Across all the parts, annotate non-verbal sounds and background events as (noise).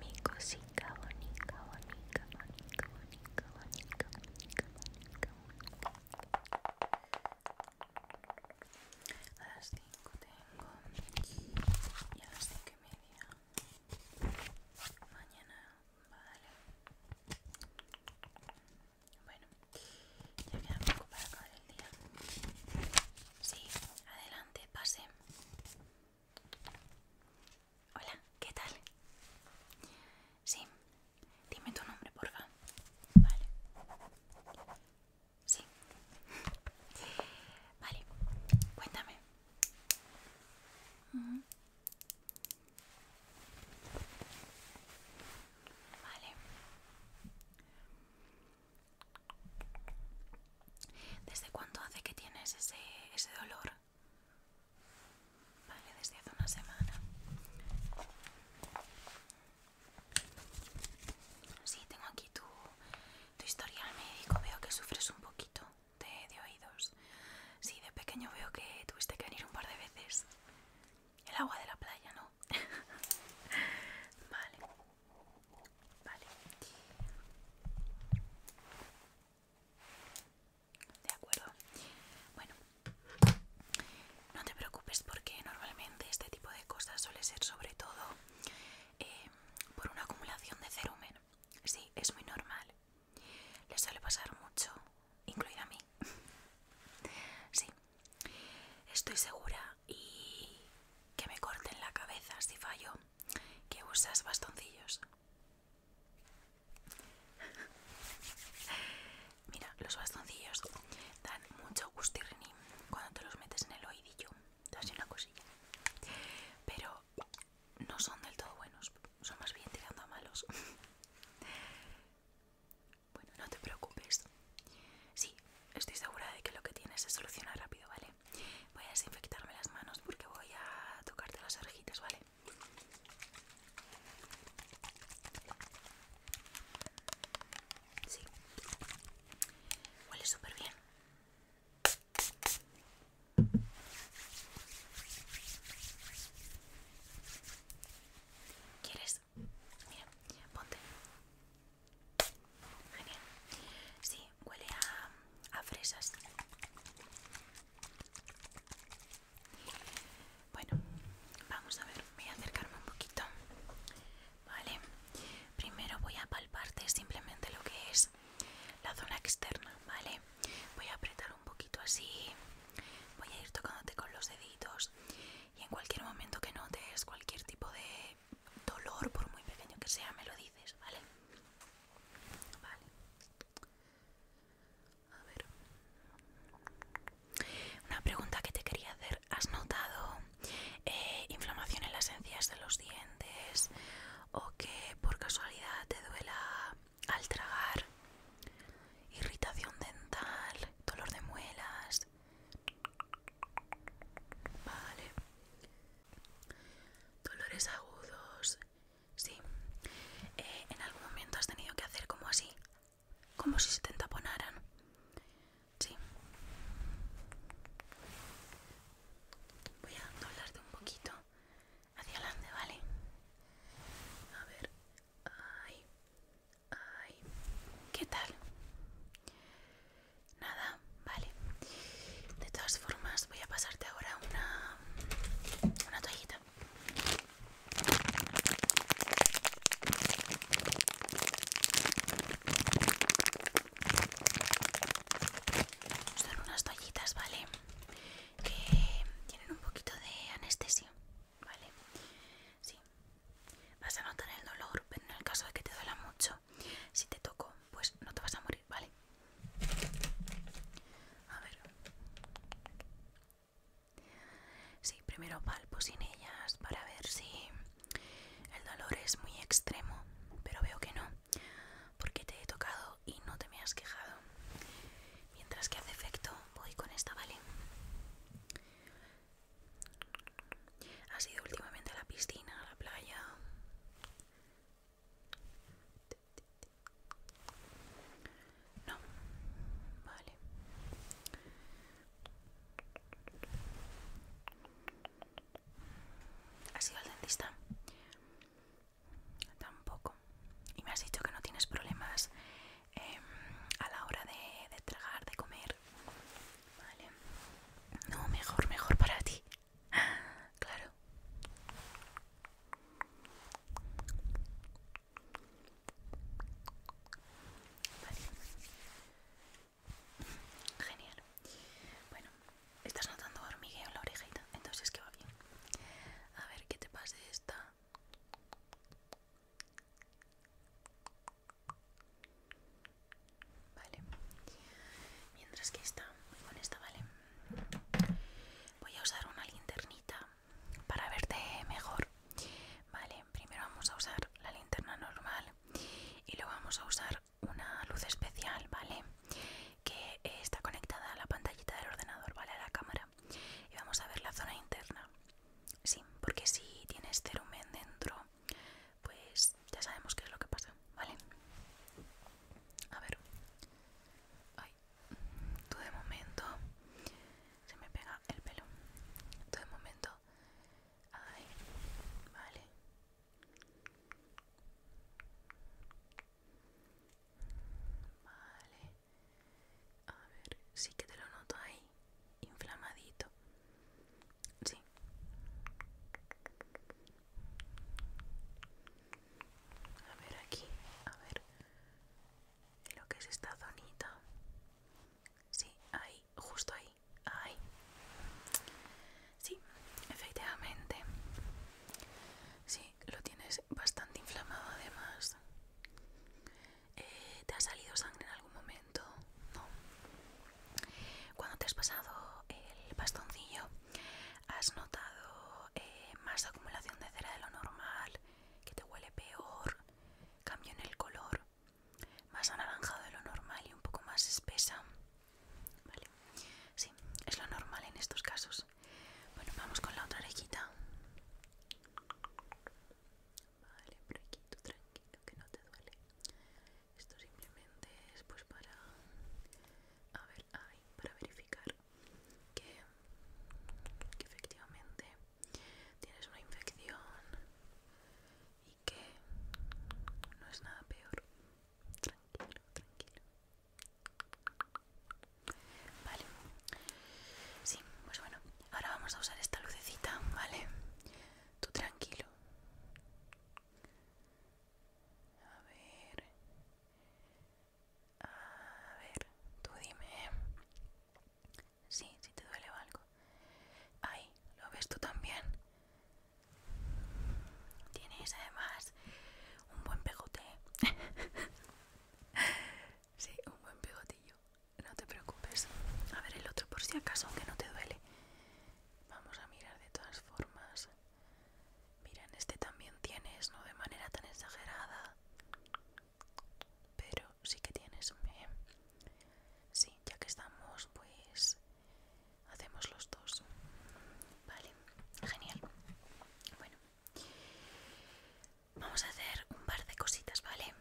Mi cosita bonita, bonita, bonita, bonita, bonita, bonita, bonita, A las 5 tengo y a las 5 y media. Mañana, vale. Bueno, ya queda poco para acabar el día. Sí, adelante, pase. Hola, ¿qué tal? Sí, dime tu nombre, porfa. Vale. Sí. Vale, cuéntame. Vale. ¿Desde cuánto hace que tienes ese, dolor? Vale, desde hace una semana. Sí, tengo aquí tu, historial médico. Veo que sufres un poquito de, de oídos. Sí, de pequeño veo que tuviste que venir un par de veces. El agua de la playa, ¿no? (laughs) vale. Vale. De acuerdo. Bueno, no te preocupes porque normalmente este tipo de cosas suele ser sobre todo eh, por una acumulación de cerumen. Sí, es muy normal. Le suele pasar mucho, incluida a mí. (laughs) sí, estoy segura y que me corten la cabeza si fallo, que usas bastoncillos. (laughs) Mira, los bastoncillos dan mucho gustirrinín cuando te los metes en el oídillo, te hace una cosilla. Pero no son del todo buenos, son más bien tirando a malos. (laughs) Bueno, no te preocupes. Sí, estoy segura de que lo que tienes se soluciona rápido, ¿vale? Voy a desinfectarme las manos porque voy a tocarte las orejitas, ¿vale? Sí. Huele súper bien. ¿Quieres? Mira, ponte. Genial. Sí, huele a, fresas. Bueno, vamos a ver, voy a acercarme un poquito. Vale, primero voy a palparte simplemente lo que es la zona externa, ¿vale? Voy a apretar un poquito así, voy a ir tocándote con los deditos y en cualquier momento que notes cualquier tipo de dolor, por muy pequeño que sea, me lo dices, ¿vale? Vale. Una pregunta que te quería hacer. ¿Has notado eh, inflamación en las encías de los dientes? ¿O que por casualidad te duela al tragar? Irritación dental, dolor de muelas. Vale. Dolores agudos. Sí. Eh, en algún momento has tenido que hacer como así. Como si se te taponaran? Sí. Voy a doblarte un poquito hacia adelante, ¿vale? A ver. Ay. Ay. ¿Qué tal? Nada, vale. De todas formas, voy a pasarte ahora una, una toallita. Son unas toallitas, ¿vale? Que tienen un poquito de anestesia, ¿vale? Sí. Vas a notar el dolor, pero en el caso de que te duela mucho, si te toco, pues no te vas a morir, ¿vale? A ver. Sí, primero palpo sin ellas para ver si el dolor es muy extremo, pero veo que no, porque te he tocado y no te me has quejado. Mientras que hace efecto, voy con esta, ¿vale? ha sido últimamente a la piscina, a la playa? No, vale. ¿Has ido al dentista? Tampoco. Y me has dicho que no tienes problemas em, a la hora de, de tragar, de comer. Vale. No, mejor, mejor para ti. Claro. Genial. Bueno, estás notando hormigueo en la orejita, entonces que va bien. A ver qué te pasa de esta. Vale. Mientras que está voy con esta, ¿vale? Voy a usar una linternita para verte mejor. Vale, primero vamos a usar la linterna normal y luego vamos a usar una luz especial, ¿vale? Que está conectada a la pantallita del ordenador, ¿vale? A la cámara. Y vamos a ver la zona interna. Sí, porque si tienes cerumen dentro, pues ya sabemos qué es lo que pasa, ¿vale? A ver. Ay, tú de momento. Se me pega el pelo. Tú de momento. vale. Vale. A ver, sí que te lo noto ahí. Inflamadito. Sí. A ver aquí, a ver lo que es esta zonita. Sí, ahí, justo ahí, ahí. Sí, efectivamente. Sí, lo tienes bastante inflamado además. Eh, ¿Te ha salido sangre en algún momento? No. Cuando te has pasado el bastoncillo, has notado eh, más acumulación de cera de lo normal, que te huele peor, cambio en el color, más anaranjado de lo normal y un poco más espesa. Vale, sí, es lo normal en estos casos. Bueno, vamos con la otra orejita. Vale, tranquilo que no te duele esto simplemente es pues para a ver para verificar que efectivamente tienes una infección y que no es nada peor tranquilo tranquilo vale sí pues bueno ahora vamos a usar esta lucecita vale tú tranquilo a ver. A ver, tú dime. Sí, si te duele o algo. Ay, ¿lo ves tú también? Tienes además un buen pegote. (laughs) sí, un buen pegotillo. No te preocupes. A ver el otro por si acaso, aunque no te duele. Vamos a mirar de todas formas. Mira, en este también tienes, no de manera tan exagerada. Pero sí que tienes. ¿eh? Sí, ya que estamos, pues hacemos los dos. Vale, genial. Bueno, vamos a hacer un par de cositas, ¿vale?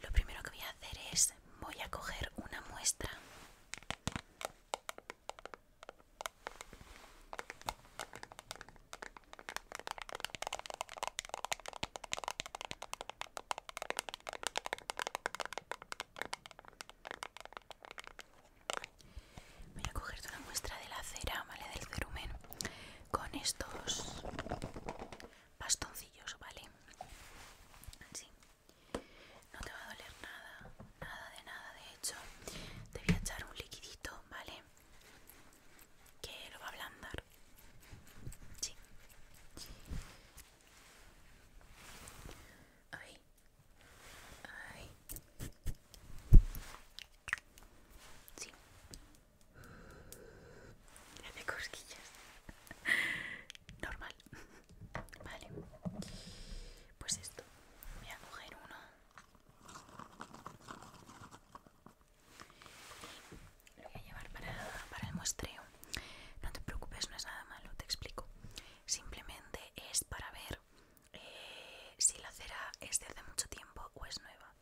Lo primero que voy a hacer es, voy a coger una muestra Voy a coger una muestra de la cera, ¿vale? Del cerumen con estos bastoncillos, ¿vale? Así. No te va a doler nada, nada de nada. De hecho, te voy a echar un liquidito, ¿vale? Que lo va a ablandar. Sí. Ay. Sí. Me hace cosquillas normal (laughs) vale pues esto voy a coger uno y lo voy a llevar para, el muestreo no te preocupes no es nada malo te explico simplemente es para ver eh, si la cera es de hace mucho tiempo o es nueva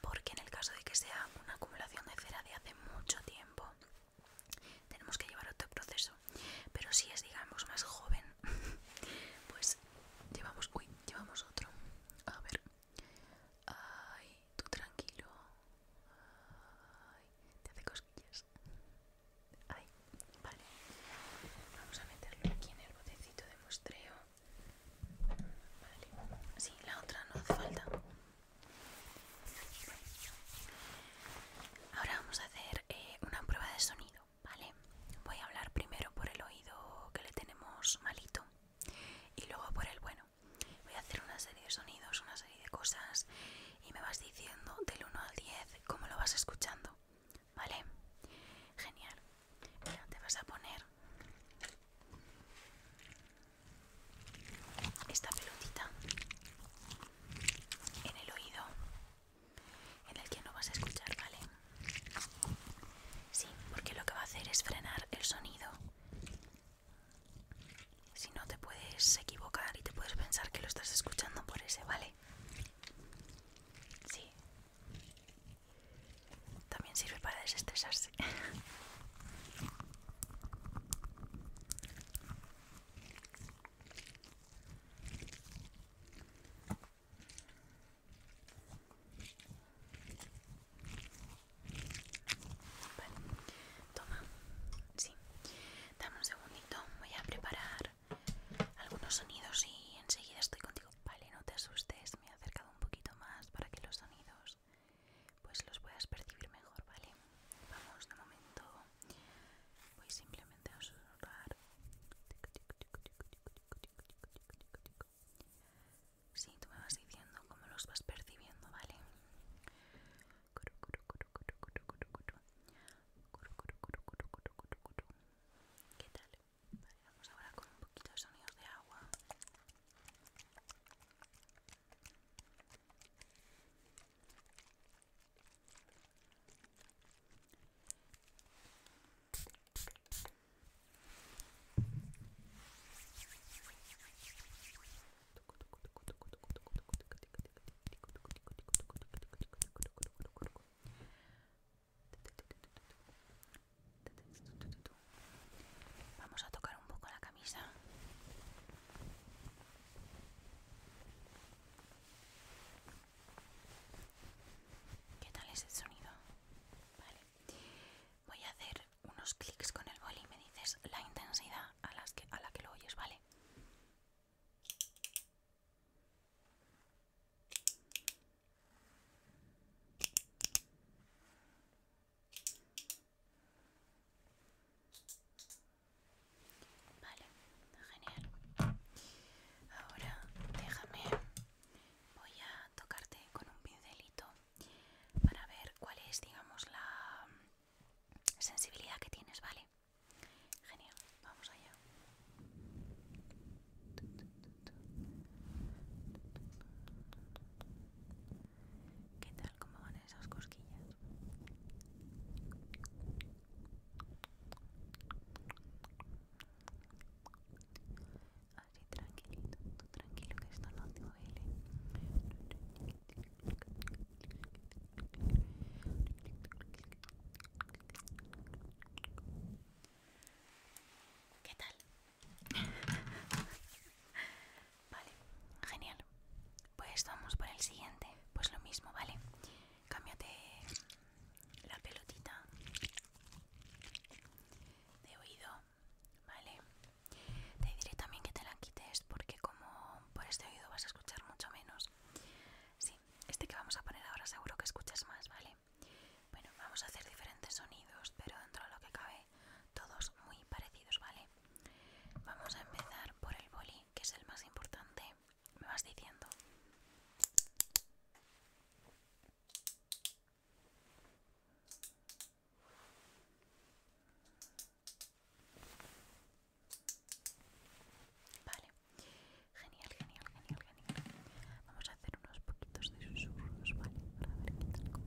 porque en el caso de que sea una acumulación de cera de hace mucho tiempo tenemos que llevar otro proceso pero si es digamos más joven (laughs) pues llevamos uy llevamos otro a ver ay tú tranquilo te hace cosquillas ay vale vamos a meterlo aquí en el botecito de muestreo vale sí la otra no hace falta Ahora vamos a hacer eh, una prueba de sonido, ¿vale? Voy a hablar primero por el oído que le tenemos malito y luego por el bueno. Voy a hacer una serie de sonidos, una serie de cosas y me vas diciendo del 1 al 10 cómo lo vas escuchando, ¿vale? Genial. te vas a poner esta pelotita en el oído en el que no vas a escuchar, ¿vale? Sí, porque lo que va a hacer es frenar el sonido. Si no, te puedes equivocar y te puedes pensar que lo estás escuchando por ese, ¿vale? Sí. También sirve para desestresarse. (laughs) Vale, toma, sí, dame un segundito, voy a preparar algunos sonidos y enseguida estoy contigo. Vale, no te asustes, me he acercado un poquito más para que los sonidos pues los puedas percibir mejor, ¿vale? Vamos de momento voy simplemente a susurrar si tú me vas diciendo cómo los vas percibiendo vale ¿Qué tal? Vale, vamos ahora con un poquito de sonidos de agua. Vamos a tocar un poco la ¿Qué tal es el sonido? Voy a hacer unos clics con el boli y me dices la intensidad a, las que, a la que lo oyes, ¿vale? Vale, genial. Ahora déjame, voy a tocarte con un pincelito para ver cuál es, digamos, la sensibilidad que tienes, ¿vale? Genial, vamos allá. ¿Qué tal? ¿Cómo esas cosquillas. Así tranquilito, tú tranquilo que esto no te duele. ¿Qué tal? Vale, genial. Pues vamos por el siguiente. Pues lo mismo, ¿vale? Cámbiate la pelotita de oído, ¿vale? Te diré también que te la quites porque como por este oído vas a escuchar mucho menos. Sí, este que vamos a poner ahora seguro que escuchas más, ¿vale? Bueno, vamos a hacer diferentes sonidos, pero dentro de lo que cabe, todos muy parecidos, ¿vale? Vamos a empezar por el boli, que es el más importante. Me vas diciendo. Vale, genial, genial, genial, genial. Vamos a hacer unos poquitos de susurros, ¿vale? Para ver qué tal,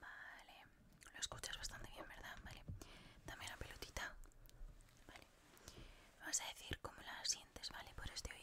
Vale, lo escuchas bastante bien, ¿verdad? Vale, también la pelotita. Vale, vas a decir cómo la sientes, ¿vale? Por este oído.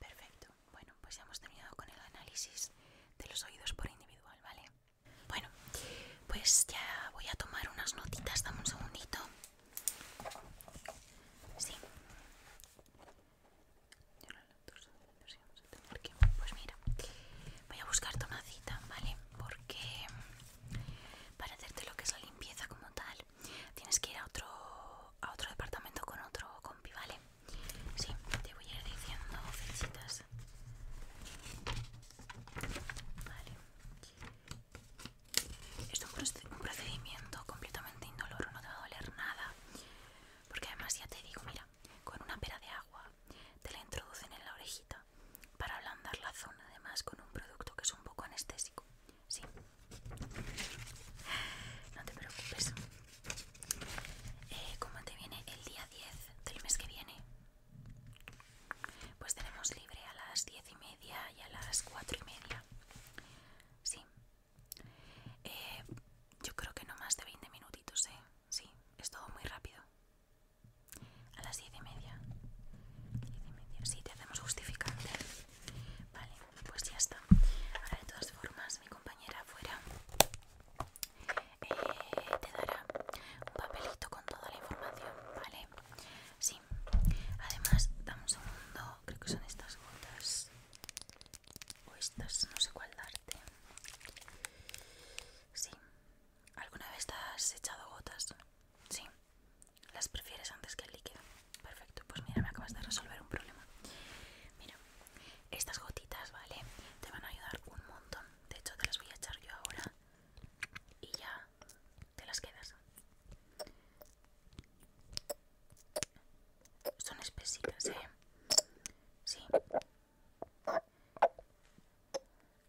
Perfecto. Bueno, pues ya hemos terminado con el análisis de los oídos por individual, ¿vale? Bueno, pues ya voy a tomar unas notitas. Dame un segundito. Sí. Pues mira, voy a buscarte una cita, ¿vale? Porque para hacerte lo que es la limpieza como tal, Tienes que ir a otro, departamento con otro compi, ¿vale? Sí, te voy a ir diciendo fechitas. Vale. Esto es un procedimiento completamente indoloro, no te va a doler nada. Porque además ya te digo, mira, con una pera de agua te la introducen en la orejita para ablandar la zona, además con un producto que es un poco anestésico. Sí. No te preocupes. como eh, ¿Cómo te viene el día 10 del mes que viene? Pues tenemos libre a las 10 y media y a las 4 y media. Sí. Eh, yo creo que no más de 20 minutitos, ¿eh? Sí, es todo muy rápido. A las 10 y media. Sí, te hacemos justificante. Vale pues ya está ahora de todas formas mi compañera afuera eh, te dará un papelito con toda la información vale sí además damos un segundo creo que son estas gotas o estas no sé cuál darte sí alguna vez te has echado gotas sí las prefieres antes que el líquido. Perfecto, pues mira, me acabas de resolver un problema. Mira, estas gotitas, ¿vale? Te van a ayudar un montón. De hecho, te las voy a echar yo ahora y ya te las quedas. Son espesitas, ¿eh? Sí.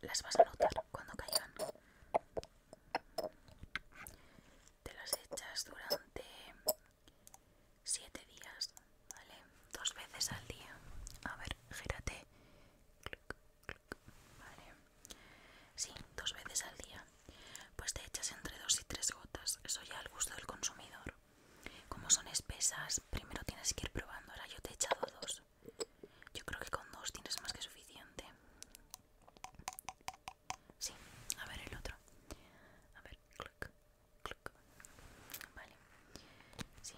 Las vas a notar cuando caigan. Te las echas durante 7 días, ¿vale? Dos veces al día. A ver, gírate. Vale. Sí, dos veces al día. Pues te echas entre 2 y 3 gotas. Eso ya al gusto del consumidor. Como son espesas, primero tienes que ir probando. Ahora yo te he echado dos. Yo creo que con dos tienes más que suficiente. Sí, a ver el otro. A ver, clic clic Vale. Sí,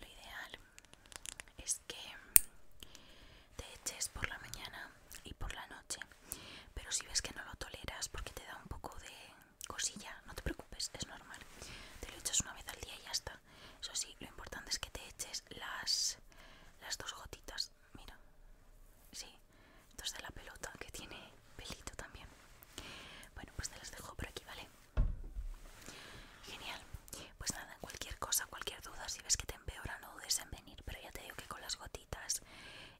lo ideal es que te eches por la mañana y por la noche. Pero si ves que no lo toleras porque te da un poco de cosilla, no te preocupes, es normal. Te lo echas una vez al día y ya está. Eso sí, lo importante es que te eches las, las dos gotitas. Mira, sí, entonces de la pelota que tiene pelito también. Bueno, pues te las dejo por aquí, ¿vale? Genial. Pues nada, cualquier cosa, cualquier duda, si ves que te empeora, no dudes en venir. Pero ya te digo que con las gotitas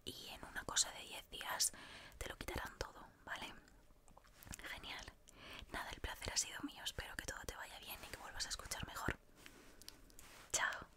y en una cosa de 10 días te lo quitarán todo, ¿vale? Genial. Nada, el placer ha sido mío. Espero que todo te vaya bien y que vuelvas a escuchar mejor. Chao.